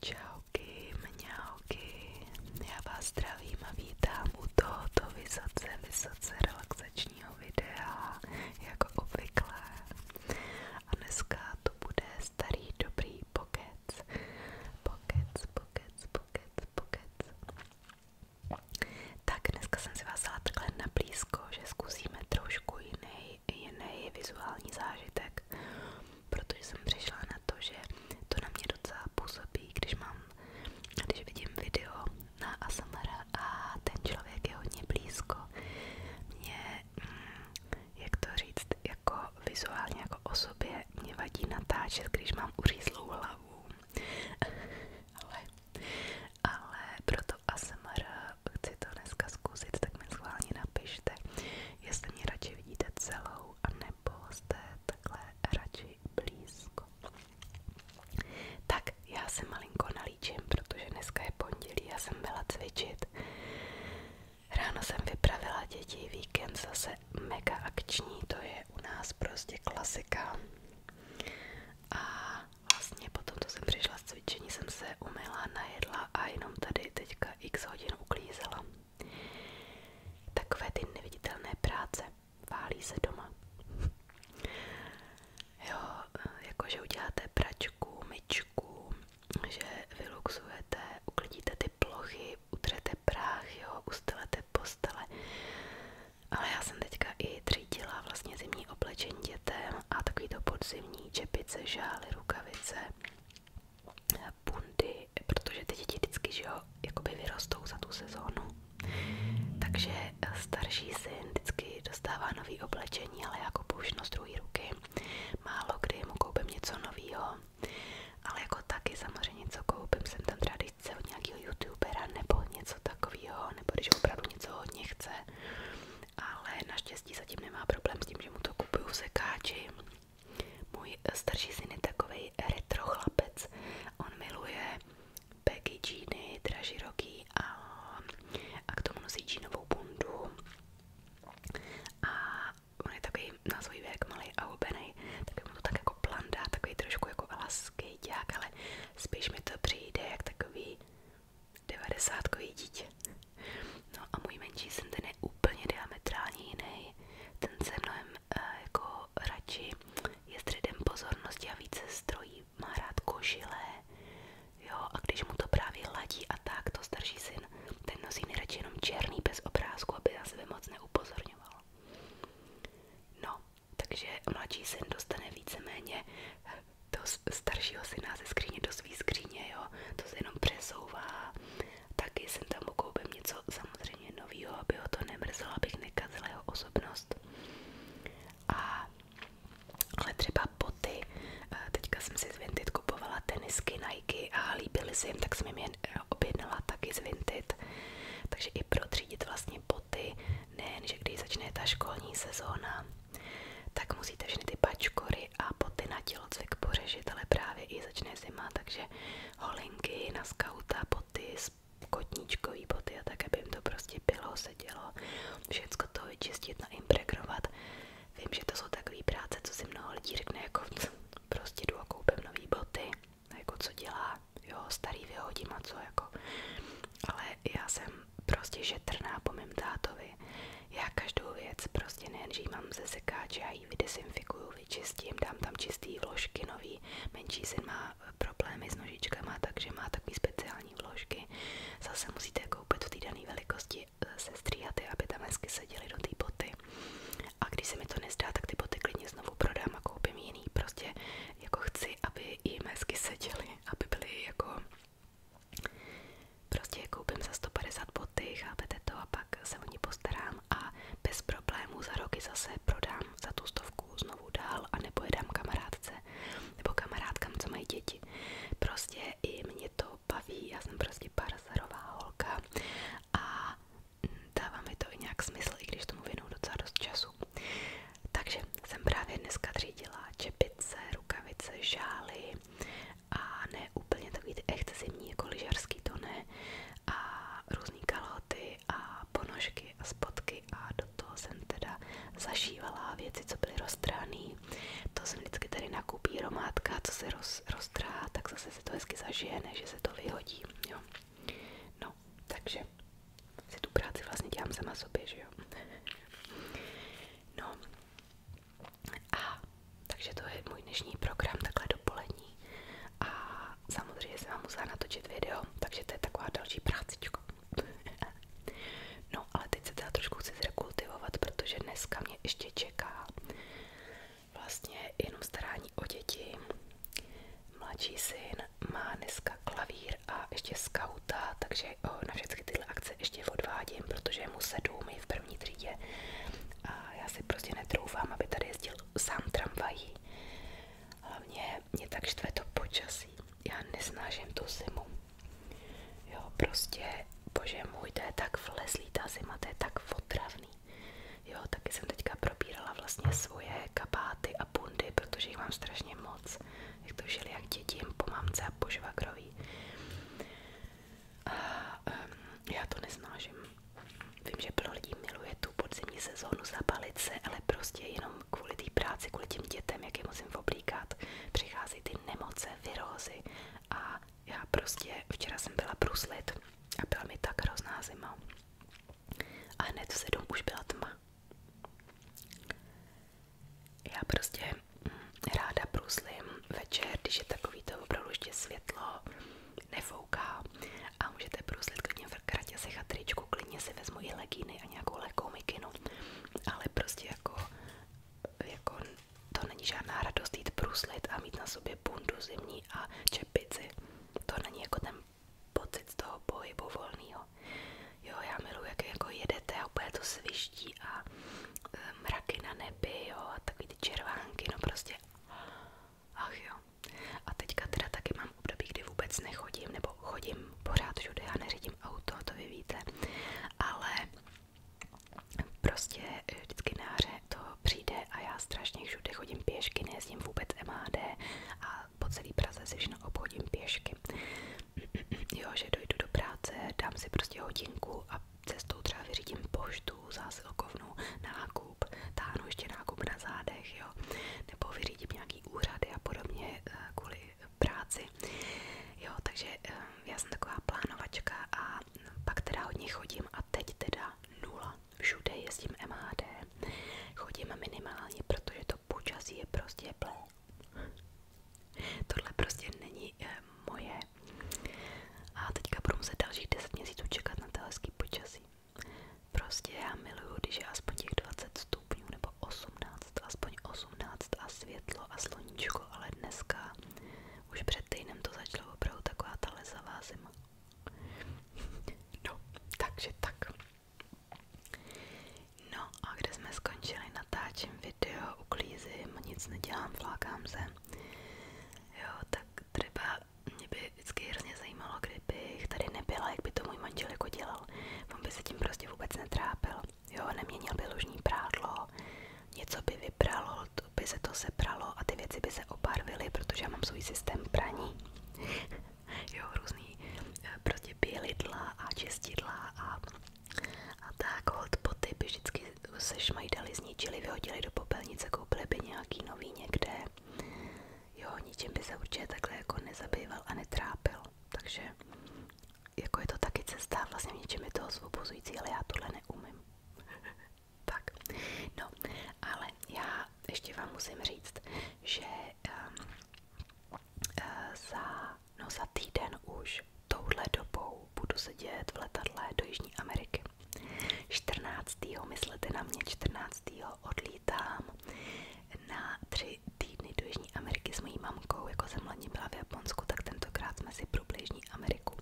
Čauky, mňauky, já vás zdravím a vítám u tohoto vysoce, vysoce relaxačního videa, jako obvykle. A dneska to bude starý dobrý pokec. Pokec, pokec, pokec, pokec. Tak dneska jsem si vás dala takhle na blízko, že zkusíme trošku jiný, jiný vizuální zážitek, protože jsem přišla na to, že to na mě docela působí, když mám, když vidím video na ASMR a ten člověk je hodně blízko. Mě, mm, jak to říct, jako vizuálně jako osobě mě vadí natáčet, když mám uřízlou hlavu. Ale ale proto ASMR chci to dneska zkusit, tak mi schválně napište, jestli mě radši vidíte celou, anebo jste takhle radši blízko. Tak, já se malinko nalíčím, protože dneska je pondělí, já jsem byla cvičit. Ráno jsem vypravila děti, víkend zase mega akční, to je u nás prostě klasika. A Vlastně potom, co jsem přišla z cvičení, jsem se umyla, najedla a jenom tady teďka x hodin uklízela. Takové ty neviditelné práce. Válí se doma. jo, jakože uděláte pračku, myčku, že vyluxujete, uklidíte ty plochy, utřete prach, jo, ustelete postele. Ale já jsem teďka i třídila vlastně zimní oblečení dětem a takový to podzimní čepice, žály, rukavice, bundy, protože ty děti vždycky, že jo, jakoby vyrostou za tu sezónu. Takže starší syn vždycky dostává nový oblečení, ale jako použitno z ruky. Málo kdy mu koupím něco nového, ale jako taky samozřejmě něco koupím, jsem tam třeba když od nějakého youtubera nebo něco takového, nebo když opravdu něco hodně chce, ale naštěstí zatím nemá problém s tím, že mu to kupuju v sekáči. Můj starší syn je takovej retro chlapec, on miluje baggy džíny, dražiroký a, a k tomu nosí džínovou bundu a on je takový na svůj věk malý a hubený, tak mu to tak jako plandá, takový trošku jako alaskejťák, ale spíš mi to přijde jak takový devadesátkový dítě. No a můj menší syn ten je úplně diametrálně jiný. Ten se mnohem e, jako radši je středem pozornosti a více strojí, má rád košile, jo, a když mu to právě ladí a tak, to starší syn, ten nosí nejradši jenom černý bez obrázku, aby na sebe moc neupozorňoval. No, takže mladší syn dostane víceméně do staršího syna ze skříně do svý skříně, jo. To se jenom přesouvá. Taky jsem tam ukoupím něco samozřejmě novýho, aby ho to nemrzelo, abych nekazila jeho osobnost. A, ale třeba boty. Eh, teďka jsem si z Vinted kupovala tenisky Nike a líbily se jim, tak jsem jim je eh, objednala taky z Vinted. Takže i pro třídit vlastně poty nejen, že když začne ta školní sezóna, tak musíte všechny ty pačkory a poty na tělocvik pořešit, ale právě i začne zima, takže holinky na skauta, poty, kotníčkový boty a tak, aby to prostě bylo, sedělo, všecko to vyčistit, naimpregnovat. Vím, že to jsou takové práce, co si mnoho lidí řekne, jako prostě jdu a boty, jako co dělá, jo, starý vyhodím a co, jako. Ale já jsem prostě šetrná po mém tátovi. Já každou věc prostě nejen, že mám ze sekáče, já ji vydesinfikuju, vyčistím, dám tam čistý vložky nový. Menší syn má eh, problémy s nožičkama, takže má takový speciální vložky. Zase musíte koupit v té dané velikosti eh, se stříhaty, aby tam hezky seděly do té boty. A když se mi to nezdá, tak ty boty klidně znovu prodám a koupím jiný. Prostě jako chci, aby i hezky seděly, aby byly jako prostě koupím za 150 boty, chápete to a pak se o ní a bez problémů za roky zase prodám za tu znovu dál a nebo kamarádce nebo kamarádkám, co mají děti. Prostě i mě to baví, já jsem prostě parzarová holka a dává mi to i nějak smysl, i když tomu věnu docela dost času. Takže jsem právě dneska třídila čepice, rukavice, žály a ne úplně takový zimní, jako lyžařský to a různý kalhoty a ponožky a spotky a do toho jsem teda zašívala věci, co byly roztráný. To jsem vždycky tady nakupí romátka, co se roztrá, tak se to hezky zažije, že se to vyhodí. No, takže si tu práci vlastně dělám sama sobě, že jo? No a takže to je můj dnešní program, takhle dopolední a samozřejmě jsem vám musela natočit video, takže to je taková další prácička. No ale teď se teda trošku chci zrekultivovat, protože dneska mě ještě čeká vlastně jenom starání o děti. Mladší syn má dneska klavír a ještě skauta, takže takže na všechny tyhle akce ještě odvádím, protože je mu sedm, je v první třídě a já si prostě netroufám, aby tady jezdil sám tramvají. Hlavně mě tak štve to počasí, já nesnážím tu zimu. Jo, prostě, bože můj, to je tak vlezlý ta zima, to je tak otravný. Jo, taky jsem teďka probírala vlastně svoje kabáty a bundy, protože jich mám strašně moc jak to žili jak děti, po mamce a po já to neznážím. Vím, že plno miluje tu podzimní sezónu zapalit se, ale prostě jenom kvůli práci, kvůli dětem, jak musím oblíkat, přichází ty nemoce, virózy a já prostě včera jsem byla bruslit a byla mi tak hrozná A hned v už byla tma. Já prostě mm, ráda bruslím večer, když je opravdu ještě světlo, nefouká a můžete bruslit klidně v kratě se chatričku, klidně si vezmu i legíny a nějakou lehkou mikinu, ale prostě jako, jako to není žádná radost jít a mít na sobě bundu zimní a čepici. To není jako ten pocit z toho pohybu volného jo. Jo, já miluji, jak jako jedete a úplně to sviští a e, mraky na nebi, jo, a takový ty červánky, no prostě, ach jo. A teďka teda taky mám období, kdy vůbec nechodím, nebo chodím pořád všude, já neřídím auto, to vy víte, ale prostě e, vždycky na to přijde a já strašně všude chodím pěšky, nejezdím vůbec MHD a po celý Praze si všechno obchodím pěšky. jo, že dojdu do práce, dám si prostě hodinku a cestou třeba vyřídím poštu, zásilkovnu, nákup, táhnu ještě nákup na zádech, jo, nebo vyřídím nějaký úřady a podobně eh, kvůli práci. Jo, takže eh, já jsem taková plánovačka a pak teda hodně chodím a teď teda nula. Všude jezdím MHD, chodím minimálně, protože to počasí je prostě plé. Tohle prostě není e, moje. A teďka budu muset dalších 10 měsíců čekat na to hezký počasí. Prostě já miluju, když je aspoň těch 20 stupňů nebo 18, aspoň 18 a světlo a sluníčko, ale dneska už před týdnem to začalo opravdu taková ta lesavá zima. No, takže tak. No a kde jsme skončili, natáčím video, uklízím, nic nedělám, flákám se. Jo, tak třeba mě by vždycky hrozně zajímalo, kdybych tady nebyla, jak by to můj manžel jako dělal. On by se tím prostě vůbec netrápil. Jo, neměnil by lužní prádlo, něco by vypralo, to by se to sepralo a ty věci by se obarvily, protože já mám svůj systém praní. jo, různý eh, prostě bělidla a čistidla a, a tak hotpoty by vždycky se šmajdali, zničili, vyhodili do popelnice, koupili by nějaký nový někde, jo, ničím by se určitě takhle jako nezabýval a netrápil, takže jako je to taky cesta, vlastně v něčem je to osvobozující, ale já tohle neumím. tak, no, ale já ještě vám musím říct, že um, uh, za no za týden už touhle dobou budu sedět v letadle do Jižní Ameriky. 14. myslete na mě, 14. odlítám na tři týdny do Jižní Ameriky s mojí mamkou, jako jsem lani byla v Japonsku, tak tentokrát jsme si pro Jižní Ameriku.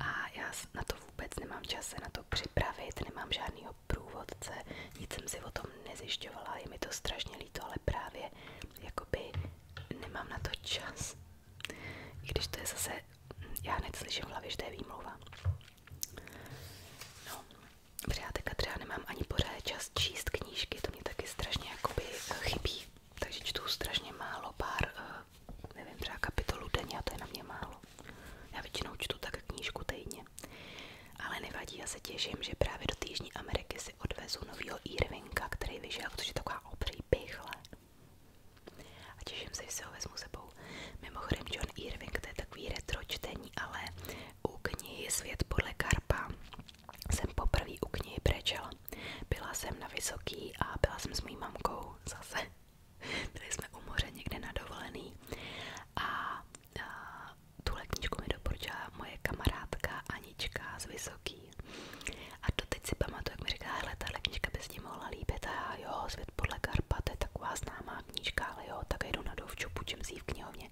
A já na to vůbec nemám čas se na to připravit, nemám žádnýho průvodce, nic jsem si o tom nezjišťovala, je mi to strašně líto, ale právě jakoby nemám na to čas. I když to je zase, já hned slyším v hlavě, že to je výmluva. No, protože já teďka třeba nemám ani pořád čas číst knížky, to mě taky strašně jakoby eh, chybí. Takže čtu strašně málo, pár, eh, nevím, třeba kapitolu denně a to je na mě málo. Já většinou čtu tak knížku týdně. Ale nevadí, já se těším, že právě do Týžní Ameriky si odvezu novýho Irvinka, který vyžel, protože je taková obří pichle. A těším se, že si ho vezmu sebou. Mimochodem John Irving, to je takový retro čtení, ale u knihy Svět podle Karpa jsem poprvé u knihy brečela. Byla jsem na Vysoký a byla jsem s mým mamkou zase. Byli jsme u moře někde na dovolený a tuhle knížku mi doporučila moje kamarádka Anička z Vysoký. A doteď si pamatuju, jak mi říká, hele, tahle knížka by s ní mohla líbit. A jo, Svět podle Karpa, to je taková známá knížka, ale jo, tak jdu na dovču, půjčím si ji v knihovně.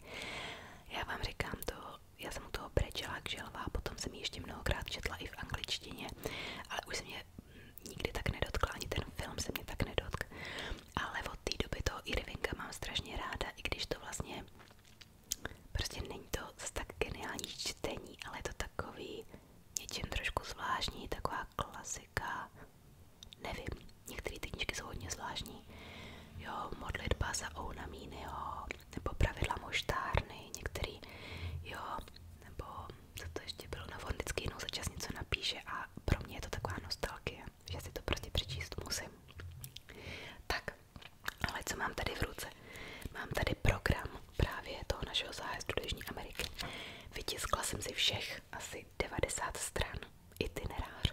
Já vám říkám to, já jsem u toho brečela k želva, potom jsem ji ještě mnohokrát četla i v angličtině, ale už se mě nikdy tak nedotkla, ani ten film se mě tak nedotk. Ale od té doby toho Irvinga mám strašně ráda, i když to vlastně prostě není to zase tak geniální čtení, ale je to takový něčím trošku zvláštní, taková klasika, nevím, některé ty knížky jsou hodně zvláštní, jo, modlitba za Ounamínyho, nebo pravidla moštárny, některý, jo, nebo co to ještě bylo, na no, vždycky jednou za čas něco napíše a pro mě je to taková nostalgie, že si to prostě přečíst musím. Tak, ale co mám tady v ruce? Mám tady program právě toho našeho zájezdu do Jižní Ameriky. Vytiskla jsem si všech asi 90 stran itinerář,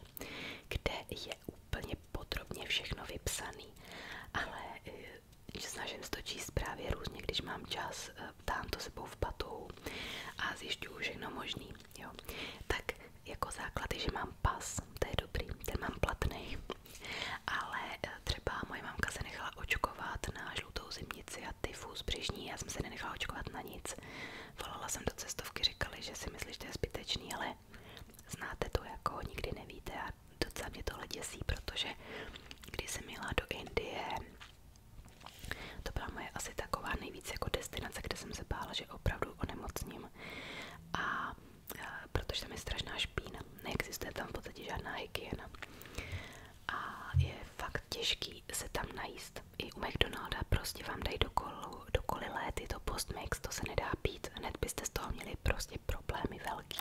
kde je úplně podrobně všechno vypsaný, ale eh, snažím se to číst právě různě, když mám čas, eh, ptám to sebou v patou a zjišťuju všechno možný. Jo. Tak jako základy, že mám pas, to je dobrý, ten mám platný. Ale eh, třeba moje mamka se nechala očkovat na žlutou zimnici a tyfus břišní, já jsem se nenechala očkovat na nic. Volala jsem do cestovky, říkali, že si myslíš, že to je zbytečný, ale znáte to jako nikdy nevíte a docela mě tohle děsí, protože když jsem jela do Indie, to byla moje asi taková nejvíc jako destinace, kde jsem se bála, že opravdu onemocním. A protože tam je strašná špína, neexistuje tam v podstatě žádná hygiena a je fakt těžký se tam najíst. I u McDonalda prostě vám dají do, kolu, do kolilé tyto postmix, to se nedá pít, hned byste z toho měli prostě problémy velký.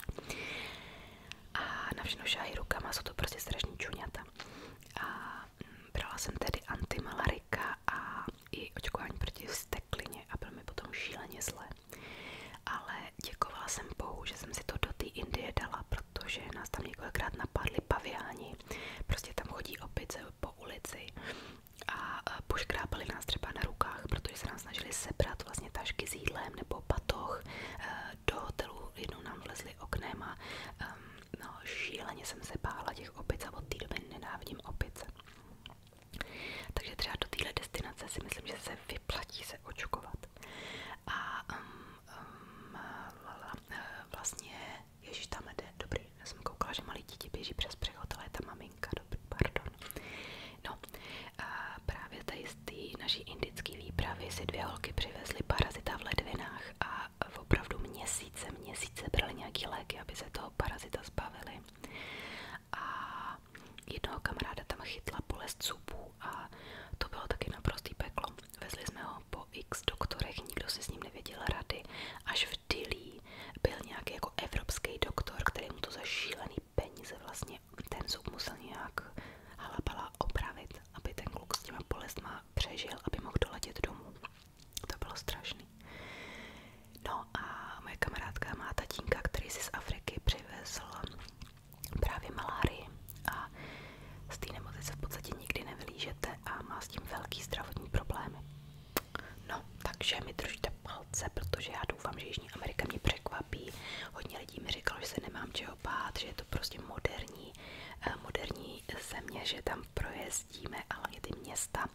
A na všechno šáhy rukama, jsou to prostě strašní čuňata. A mm, brala jsem tedy antimalarika a i očkování proti vsteklině, a bylo mi potom šíleně zle. Ale děkovala jsem Bohu, že jsem si to do té Indie dala, protože nás tam několikrát napadli paviáni. Prostě tam chodí opice po ulici a poškrápali nás třeba na rukách, protože se nám snažili sebrat vlastně tašky s jídlem nebo patoch eh, do hotelu. Jednou nám vlezli oknem a no, šíleně jsem se bála těch opic a od té doby nenávidím opice. Takže třeba do téhle destinace si myslím, že se vyplatí se očkovat. A um, um, lala, eh, vlastně, ježiš, tam jde, dobrý, já jsem koukala, že malý dítě běží přes přechod, ale je ta maminka, dobrý, pardon. No, a právě tady z té naší indické výpravy si dvě holky přivezly parazita v ledvinách a v opravdu měsíce, měsíce brali nějaký léky, aby se toho parazita zbavili a jednoho kamaráda tam chytla bolest zubů a to bylo taky naprostý peklo. Vezli jsme ho po x doktorech, nikdo si s ním nevěděl rady, až v Dilí byl nějaký jako evropský doktor, který mu to za šílený peníze vlastně ten zub musel nějak halabala opravit, aby ten kluk s těma bolestma přežil, aby mohl doletět domů. To bylo strašný. No a moje kamarádka má tatínka, který si z Afriky přivezl právě malárii a z té v podstatě nikdy nevylížete a má s tím velký zdravotní problémy. No, takže mi držte palce, protože já doufám, že Jižní Amerika překvapí. Hodně lidí mi říkalo, že se nemám čeho bát, že je to prostě moderní, eh, moderní země, že tam projezdíme, ale i ty města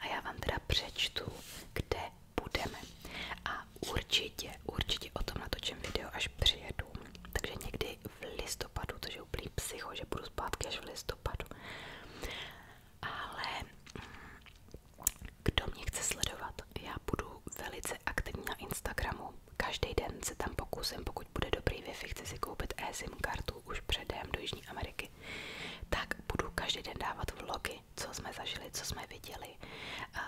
a já vám teda přečtu, kde budeme. A určitě, určitě o tom natočím video, až přijedu. Takže někdy v listopadu, to je úplný psycho, že budu zpátky až v listopadu. Ale mm, kdo mě chce sledovat, já budu velice aktivní na Instagramu. Každý den se tam pokusím, pokud bude dobrý wi chci si koupit SIM kartu už předem do Jižní Ameriky vlogy, tak budu každý den dávat vlogy, co jsme zažili, co jsme viděli, uh,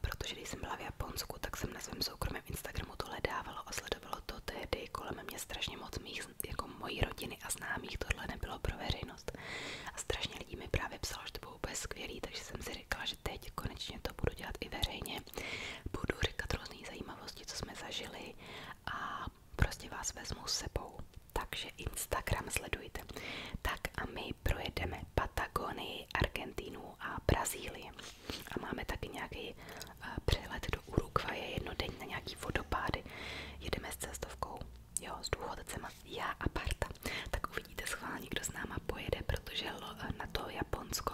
protože když jsem byla v Japonsku, tak jsem na svém soukromém Instagramu tohle dávala, a sledovalo to tehdy kolem mě strašně moc mých, jako mojí rodiny a známých, tohle nebylo pro veřejnost a strašně lidí mi právě psalo, že to bylo úplně skvělý, takže jsem si říkala, že teď konečně to budu dělat i veřejně, budu říkat různé zajímavosti, co jsme zažili a prostě vás vezmu s sebou. Takže Instagram sledujte. Tak a my projedeme Patagonii, Argentínu a Brazílii. A máme taky nějaký uh, eh, přelet do jedno den na nějaký vodopády. Jedeme s cestovkou, jo, s důchodcema, já a Barta. Tak uvidíte schválně, kdo s náma pojede, protože eh, na to Japonsko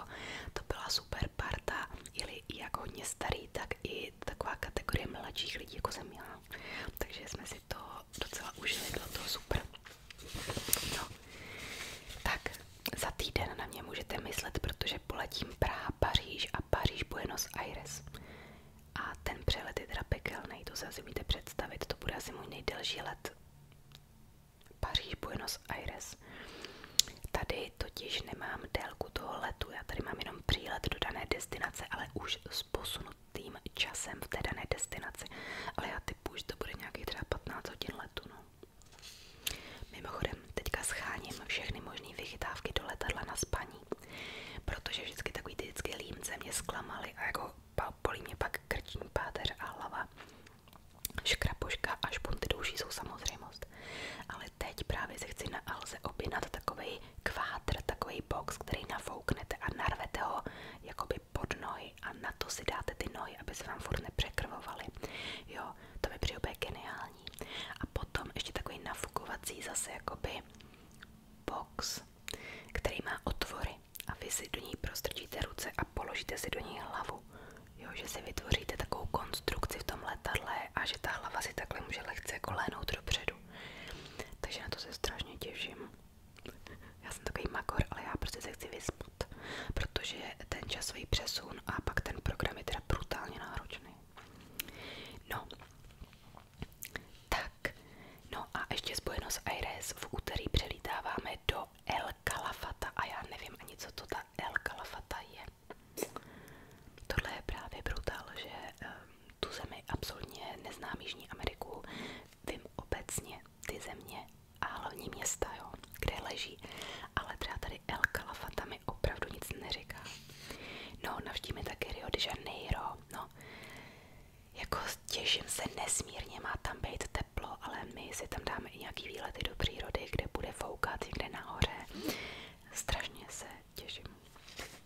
to byla super parta, jeli jak hodně starý, tak i taková kategorie mladších lidí, jako jsem měla, Takže jsme si to docela užili, bylo to super. No, tak za týden na mě můžete myslet, protože poletím Praha, Paříž a Paříž Buenos Aires. A ten přelet je teda pekelný, to se asi můžete představit, to bude asi můj nejdelší let. Paříž Buenos Aires. Tady totiž nemám délku toho letu, já tady mám jenom jenom přílet do dané destinace, ale už s posunutým časem v té dané destinaci. Ale já typu, že to bude nějaký třeba 15 hodin letu. No. Mimochodem, teďka scháním všechny možné vychytávky do letadla na spaní, protože vždycky takový ty vždycky límce mě zklamaly a jako bolí mě pak krční páteř a hlava. Škrapoška a špunty douší jsou samozřejmost. Ale teď právě se chci na Alze objednat takový kvátr, takový takový box, který nafouknete a narvete ho jakoby pod nohy a na to si dáte ty nohy, aby se vám furt nepřekrvovaly. Jo, to by přijde geniální. A potom ještě takový nafukovací zase jakoby box, který má otvory a vy si do ní prostrčíte ruce a položíte si do ní hlavu. Jo, že si vytvoříte takovou konstrukci v tom letadle a že ta hlava si takhle může lehce kolénout jako dopředu dopředu. Takže na to se strašně těším. Já jsem takový makor, ale já prostě se chci vyspat, protože ten časový přesun a pak ten program je teda brutálně náročný. No, tak, no a ještě z Buenos Aires v úterý přelítáváme do El Calafata a já nevím ani, co to ta El Calafata je. Tohle je právě brutál, že ehm, tu zemi absolutně neznám Jižní Ameriku, vím obecně ty země a hlavní města, jo, kde leží, ale třeba tady El Calafata mi opravdu nic neříká. No, navštívíme taky Rio de Janeiro, no, jako těším se nesmírně, má tam být teplo, ale my si tam dáme i nějaký výlety do přírody, kde bude foukat někde nahoře. Strašně se těším.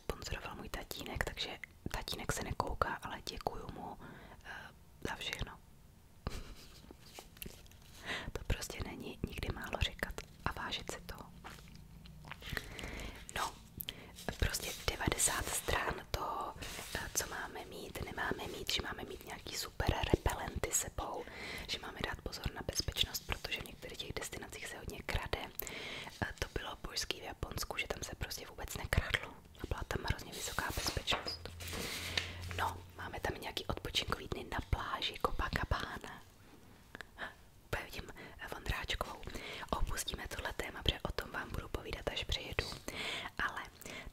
nesponsoroval můj tatínek, takže tatínek se nekouká, ale děkuju mu uh, za všechno. to prostě není nikdy málo říkat a vážit si toho. No, prostě 90 stran toho, eh, co máme mít, nemáme mít, že máme mít nějaký super repelenty sebou, že máme dát pozor na bezpečnost, protože v některých těch destinacích se hodně krade. Eh, to bylo božský Japonsku, že tam se prostě vůbec nekradlo a byla tam hrozně vysoká bezpečnost. No, máme tam nějaký odpočinkový dny na pláži Copacabana. Pojedím eh, Vondráčkovou. Opustíme tohle téma, protože o tom vám budu povídat, až přijedu. Ale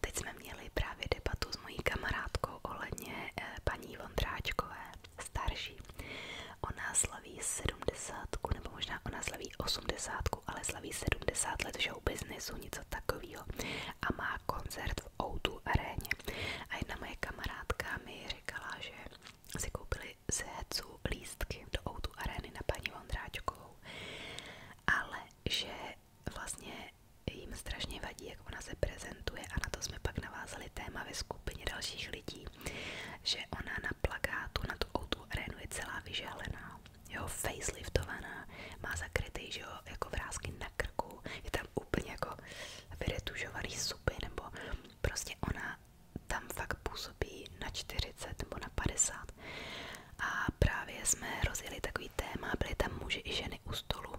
teď jsme měli právě debatu s mojí kamarádkou ohledně eh, paní Vondráčkové, starší ona slaví 70, nebo možná ona slaví 80, ale slaví 70 let show businessu, něco takového a má koncert v Outu aréně. A jedna moje kamarádka mi říkala, že si koupili z Hecu lístky do Outu arény na paní Vondráčkovou, ale že vlastně jim strašně vadí, jak ona se prezentuje a na to jsme pak navázali téma ve skupině dalších lidí, že ona na plakátu na tu autu arénu je celá vyželená, jo, faceliftovaná, má zakrytý, že jo, jako vrázky na krku, je tam úplně jako vyretužovaný supy, nebo prostě ona tam fakt působí na 40 nebo na 50. A právě jsme rozjeli takový téma, byly tam muži i ženy u stolu.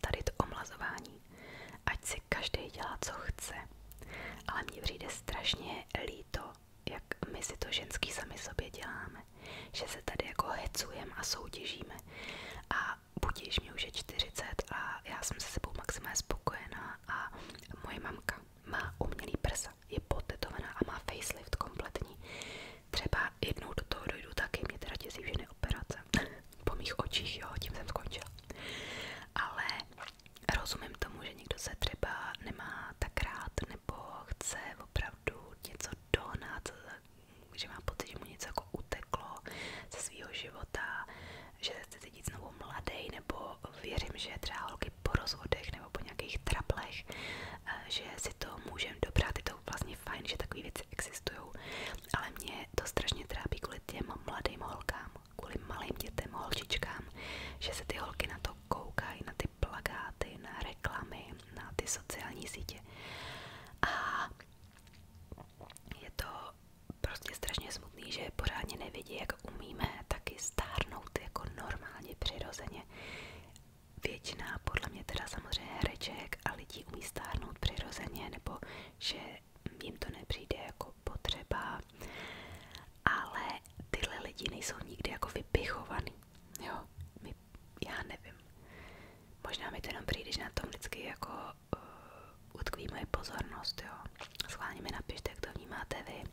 Tady to omlazování. Ať si každý dělá, co chce. Ale mně přijde strašně líp dělají to, jak my si to ženský sami sobě děláme. Že se tady jako hecujeme a soutěžíme. A budíš mě už je 40 a já jsem se sebou maximálně spokojená a moje mamka má umělý prsa, je potetovaná a má facelift kompletní. Třeba jednou do toho dojdu taky, mě teda děsí všechny operace. po mých očích, jo, tím jsem skončila. Ale rozumím tomu, že někdo se třeba nemá tak rád nebo chce opravdu něco dohnat, že má pocit, že mu něco jako uteklo ze svého života, že se chce cítit znovu mladý, nebo věřím, že třeba holky po rozvodech nebo po nějakých traplech, eh, že si to můžeme dobrat, je to vlastně fajn, že takové věci existují, ale mě to strašně trápí kvůli těm mladým holkám, kvůli malým dětem, holčičkám, že se ty holky na to koukají, na ty plakáty, na reklamy, na ty sociální sítě. A je to prostě strašně smutný, že pořádně nevidí, jak umíme taky stárnout jako normálně, přirozeně. Většina, podle mě teda samozřejmě hereček a lidí umí stárnout přirozeně, nebo že jim to nepřijde jako jako potřeba, ale tyhle lidi nejsou nikdy jako vypichovaný, jo, my, já nevím, možná mi to jenom přijde, že na tom vždycky jako uh, utkví moje pozornost, jo, schválně mi napište, jak to vnímáte vy,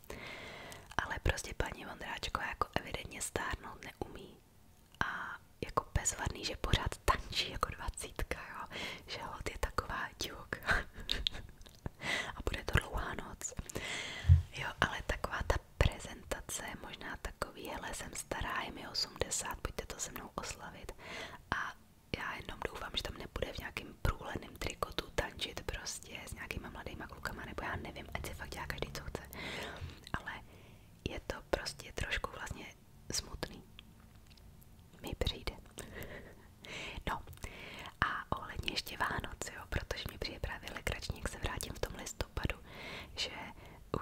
ale prostě paní Vondráčková jako evidentně stárnout neumí a jako bezvadný, že pořád tančí jako dvacítka, jo, že hod je taková divok. a bude to dlouhá noc. Jo, ale taková ta prezentace, možná takový, hele, jsem stará, je mi 80, pojďte to se mnou oslavit. A já jenom doufám, že tam nebude v nějakým průleným trikotu tančit prostě s nějakýma mladýma klukama, nebo já nevím, ať se fakt dělá každý, co chce. Ale je to prostě trošku vlastně smutný. Mi přijde. No a ohledně ještě Vánoce, jo, protože mi přijde právě legrační, jak se vrátím v tom listopadu, že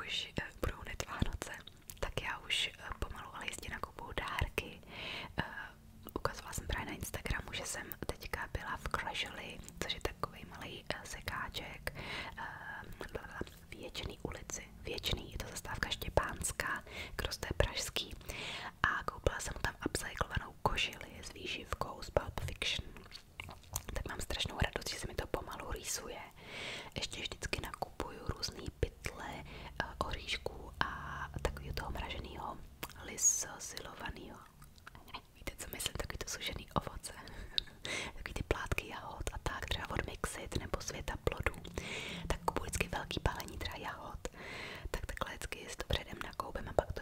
už eh, budou hned Vánoce, tak já už eh, pomalu ale jistě nakupuju dárky. Eh, ukazovala jsem právě na Instagramu, že jsem teďka byla v Crashly, což je takový malý eh, sekáček eh, v Věčný ulici. Věčný, je to zastávka Štěpánská, kdo jste pražský a koupila jsem tam upcyklovanou kožili s výživkou z Pulp Fiction. Tak mám strašnou radost, že se mi to pomalu rýsuje. Ještě vždycky nakupuju různý pytle eh, oříšků a takového toho mraženého lisosilovaného. Víte, co myslím, takový to sužený ovoce, takový ty plátky jahod a tak, třeba od nebo Světa plodů, tak kupuji vždycky velký balení třeba jahod tak takhle hezky si to předem nakoupím a pak to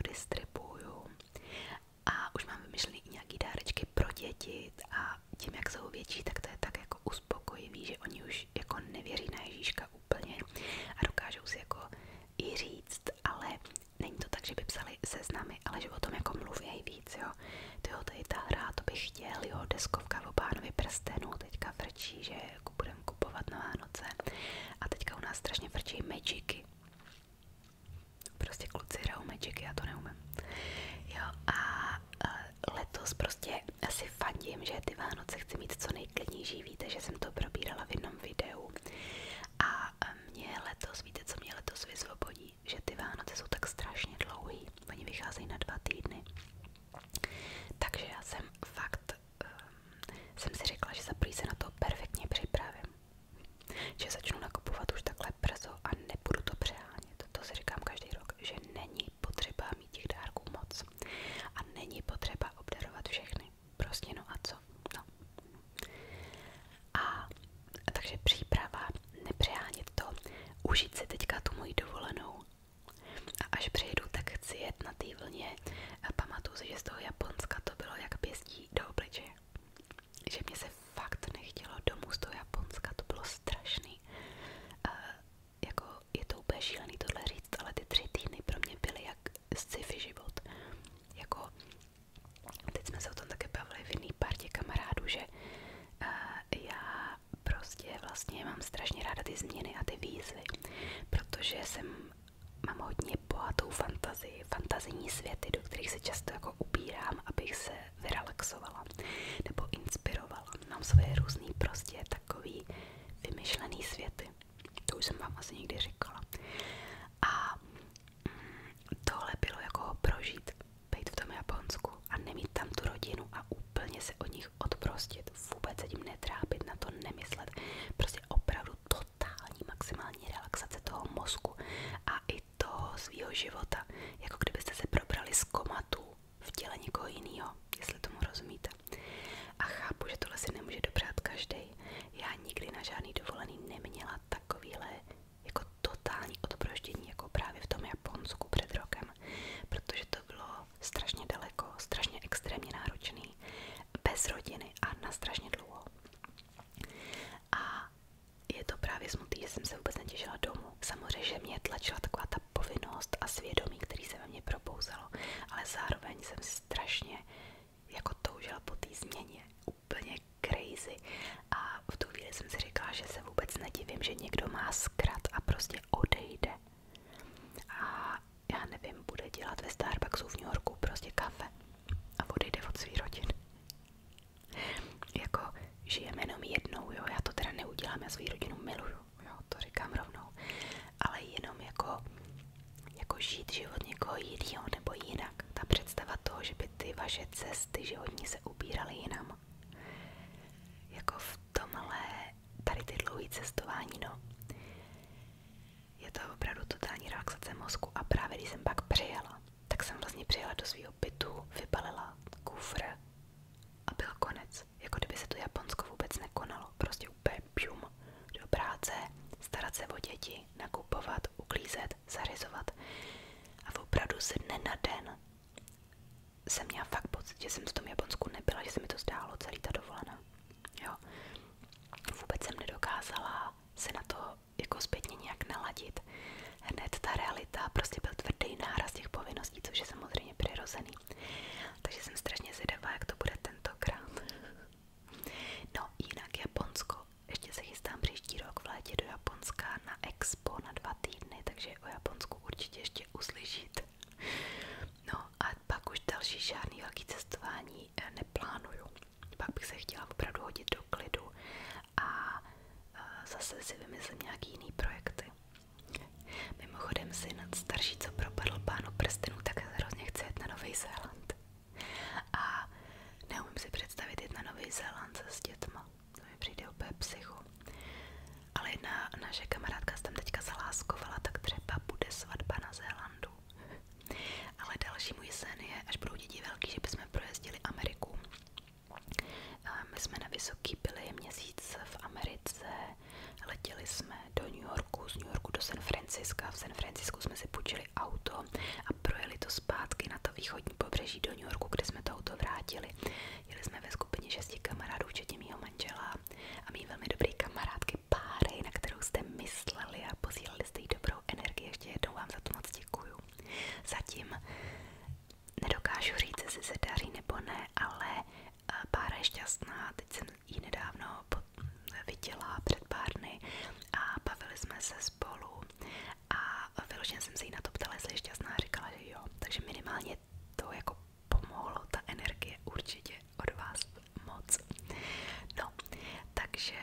A už mám vymyšlený i nějaký dárečky pro děti a tím, jak jsou větší, tak to je tak jako uspokojivý, oni už jako nevěří na Ježíška úplně a dokážou si jako i říct, ale není to tak, že by psali seznamy, ale že o tom jako mluví víc, jo. Tyjo, tady ta hra, to bych chtěl, jo, deskovka v obánovi prstenů teďka vrčí, že jako bude budeme kupovat na Vánoce. A teďka u nás strašně vrčí magicy. Prostě kluci hrajou magicy, já to neumím. Jo, a letos prostě asi fandím, že ty Vánoce chci mít co nejklidnější. Víte, že jsem to probírala v jednom videu. A mě letos, víte, co mě letos vyzvobodí? Že ty Vánoce jsou tak strašně dlouhé, Oni vycházejí na dva týdny. Takže já jsem fakt um, si řekla, že za prý se na to perfektně připravím. Že začnu nakupovat už takhle brzo a nebudu to přehánět. To si říkám každý rok, že není potřeba mít těch dárků moc. A není potřeba obdarovat všechny. Prostě no a co? No. A takže příprava, nepřehánět to, užít teďka tu moji dovolenou. A až přejdu tak chci jet na té vlně a pamatuju si, že z toho Japonska to bylo jak pěstí do obličeje. Že mě se fakt nechtělo domů z toho Japonska, to bylo strašný. A jako je to úplně šílený tohle říct, ale ty tři týdny pro mě byly jak sci-fi život. Jako, teď jsme se o tom také bavili v jiný partě kamarádů, že uh, já prostě vlastně mám strašně ráda ty změny a ty výzvy, protože jsem mám hodně bohatou fantazii, fantazijní světy, do kterých se často jako upírám, abych se vyrelaxovala nebo inspirovala. Mám svoje různé prostě takový vymyšlený světy. To už jsem vám asi někdy říkala. A mm, tohle bylo jako prožít, být v tom Japonsku a nemít tam tu rodinu a úplně se od nich odprostit vůbec se tím netrápit, na to nemyslet, prostě opravdu totální maximální relaxace toho mozku a i toho svého života, jako kdybyste se probrali z komatu v těle někoho jiného, jestli tomu rozumíte. A chápu, že tohle si nemůže dopřát každý. Já nikdy na žádný dovolený neměla takovýhle jako totální odproždění, jako právě v tom Japonsku před rokem, protože to bylo strašně daleko, strašně extrémně náročné zavřený, bez rodiny a na strašně dlouho. A je to právě smutný, že jsem se vůbec netěšila domů. Samozřejmě že mě tlačila taková ta povinnost a svědomí, který se ve mně probouzalo, ale zároveň jsem strašně jako toužila po té změně, úplně crazy. A v tu chvíli jsem si říkala, že se vůbec nedivím, že někdo má zkrat a prostě odejde. A já nevím, bude dělat ve Starbucksu v New Yorku prostě kafe a odejde od svý rodiny. jako žijeme jenom jednou, jo, já to teda neudělám, já svou rodinu miluju, jo, to říkám rovnou, ale jenom jako, jako žít život někoho jiného nebo jinak. Ta představa toho, že by ty vaše cesty životní se ubíraly jinam. Jako v tomhle, tady ty dlouhé cestování, no. Je to opravdu totální relaxace mozku a právě když jsem pak přijela, tak jsem vlastně přijela do svého bytu, vybalila kufr a byl konec. Jako kdyby se to Japonsko vůbec nekonalo. Prostě úplně pjum do práce, starat se o děti, nakupovat, uklízet, zařizovat. A opravdu se dne na den jsem měla fakt pocit, že jsem v tom Japonsku nebyla, že se mi to zdálo celý ta dovolená. Jo vůbec jsem nedokázala se na to jako zpětně nějak naladit. Hned ta realita, prostě byl tvrdý náraz těch povinností, což je samozřejmě přirozený. Takže jsem strašně zvědavá, jak to bude tentokrát. No, jinak Japonsko. Ještě se chystám příští rok v létě do Japonska na Expo na dva týdny, takže o Japonsku určitě ještě uslyšíte. No a pak už další žádný velký cestování eh, neplánuju. Pak bych se chtěla opravdu hodit do klidu a eh, zase si vymyslím nějaký jiný projekty. Mimochodem syn starší, co propadl pánu prstenu, tak hrozně chci jet na Nový Zéland. A neumím si představit jet na Nový Zéland se s dětma. To mi přijde úplně psycho. Ale jedna naše kamarádka se tam teďka zaláskovala, tak třeba bude svatba na Zélandu. Ale další můj sen je, až budou děti velký, že bychom projezdili Ameriku. My jsme na Vysoký byli měsíc v Americe, letěli jsme do New Yorku, z New Yorku do San Franciska, v San Francisku jsme si půjčili auto a projeli to zpátky na to východní pobřeží do New Yorku, kde jsme to auto vrátili. Jeli jsme ve skupině šesti kamarádů, včetně mýho manžela a mý velmi dobrý kamarád, vždycky páry, na kterou jste mysleli a posílali jste jí dobrou energii. Ještě jednou vám za to moc děkuju. Zatím nedokážu říct, jestli se daří nebo ne, ale eh, pára je šťastná. Teď jsem ji nedávno viděla před pár dny a bavili jsme se spolu a vyloženě jsem se jí na to ptala, jestli je šťastná a říkala, že jo. Takže minimálně to jako pomohlo, ta energie určitě od vás moc. No, takže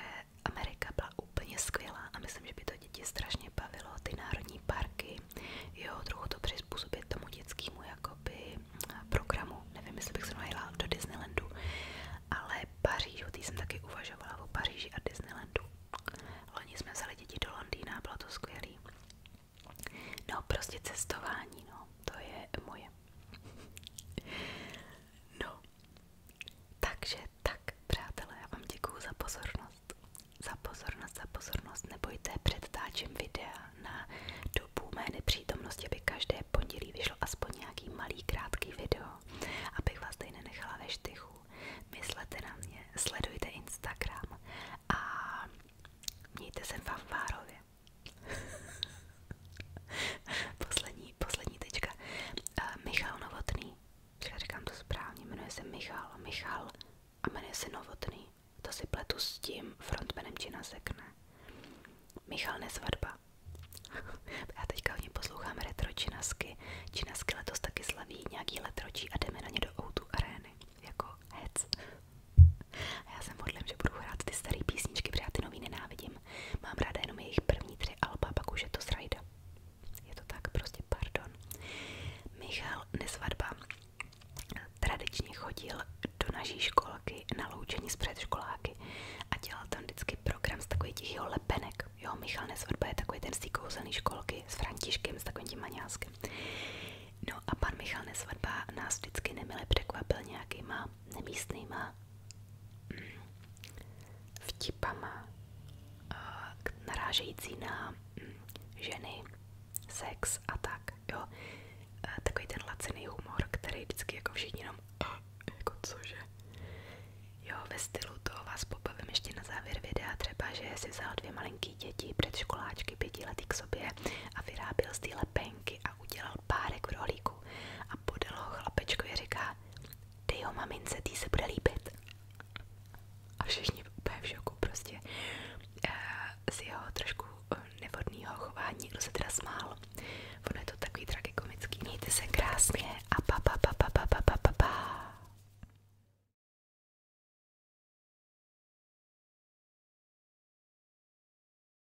Amerika byla úplně skvělá a myslím, že by to děti strašně bavilo, ty národní parky, jo, trochu to přizpůsobit tomu dětskému jakoby eh, programu, nevím, jestli bych se najela do Disneylandu, ale Paříž, o té jsem taky uvažovala, o Paříži a Disneylandu. Loni jsme vzali děti do Londýna, bylo to skvělý. No, prostě cestování, no, to je moje No, takže tak, přátelé, já vám děkuju za pozornost. Za pozornost, za pozornost. Nebojte, předtáčím videa na dobu mé nepřítomnosti, aby každé pondělí vyšlo aspoň nějaký malý, krátký video, abych vás tady nenechala ve štychu. Myslete na mě, sledujte Instagram a mějte se vám várově poslední, poslední tečka. Uh, Michal Novotný. Já říkám to správně, jmenuje se Michal, Michal a jmenuje se Novotný. To si pletu s tím frontmanem Čina Sekne. Michal Nesvadba. Já teďka v ní poslouchám retro činasky. Činasky letos taky slaví nějaký letročí a jdeme na ně do Outu arény. Jako hec. A já jsem hodlem, že budu hrát ty staré písničky, protože já ty nový nenávidím. Mám ráda jenom jejich první tři alba, pak už je to srajda. Je to tak, prostě pardon. Michal Nesvadba tradičně chodil do naší školky na loučení s předškoláky a dělal tam vždycky program z takových těch jeho lepenek. Jo, Michal Nesvadba je takový ten z té kouzelný školky s Františkem, s takovým tím maňáskem. No a pan Michal Nesvadba nás vždycky nemile překvapil nějakýma nemístnýma vtipama narážející na mm, ženy, sex a tak, jo. Takový ten laciný humor, který vždycky jako všichni jenom jako cože. Jo, ve stylu toho vás pobavím ještě na závěr videa, třeba, že si vzal dvě malinký děti, před předškoláčky pětiletý k sobě a vyráběl z té lepenky a udělal párek v rohlíku a podal ho chlapečkovi a říká, dej ho mamince, tý se bude líbit. A všichni úplně v šoku prostě eh, z jeho trošku eh, nevodného chování, kdo se teda smál. Ono je to takový tragikomický. Mějte se krásně a pa pa pa pa pa pa pa pa.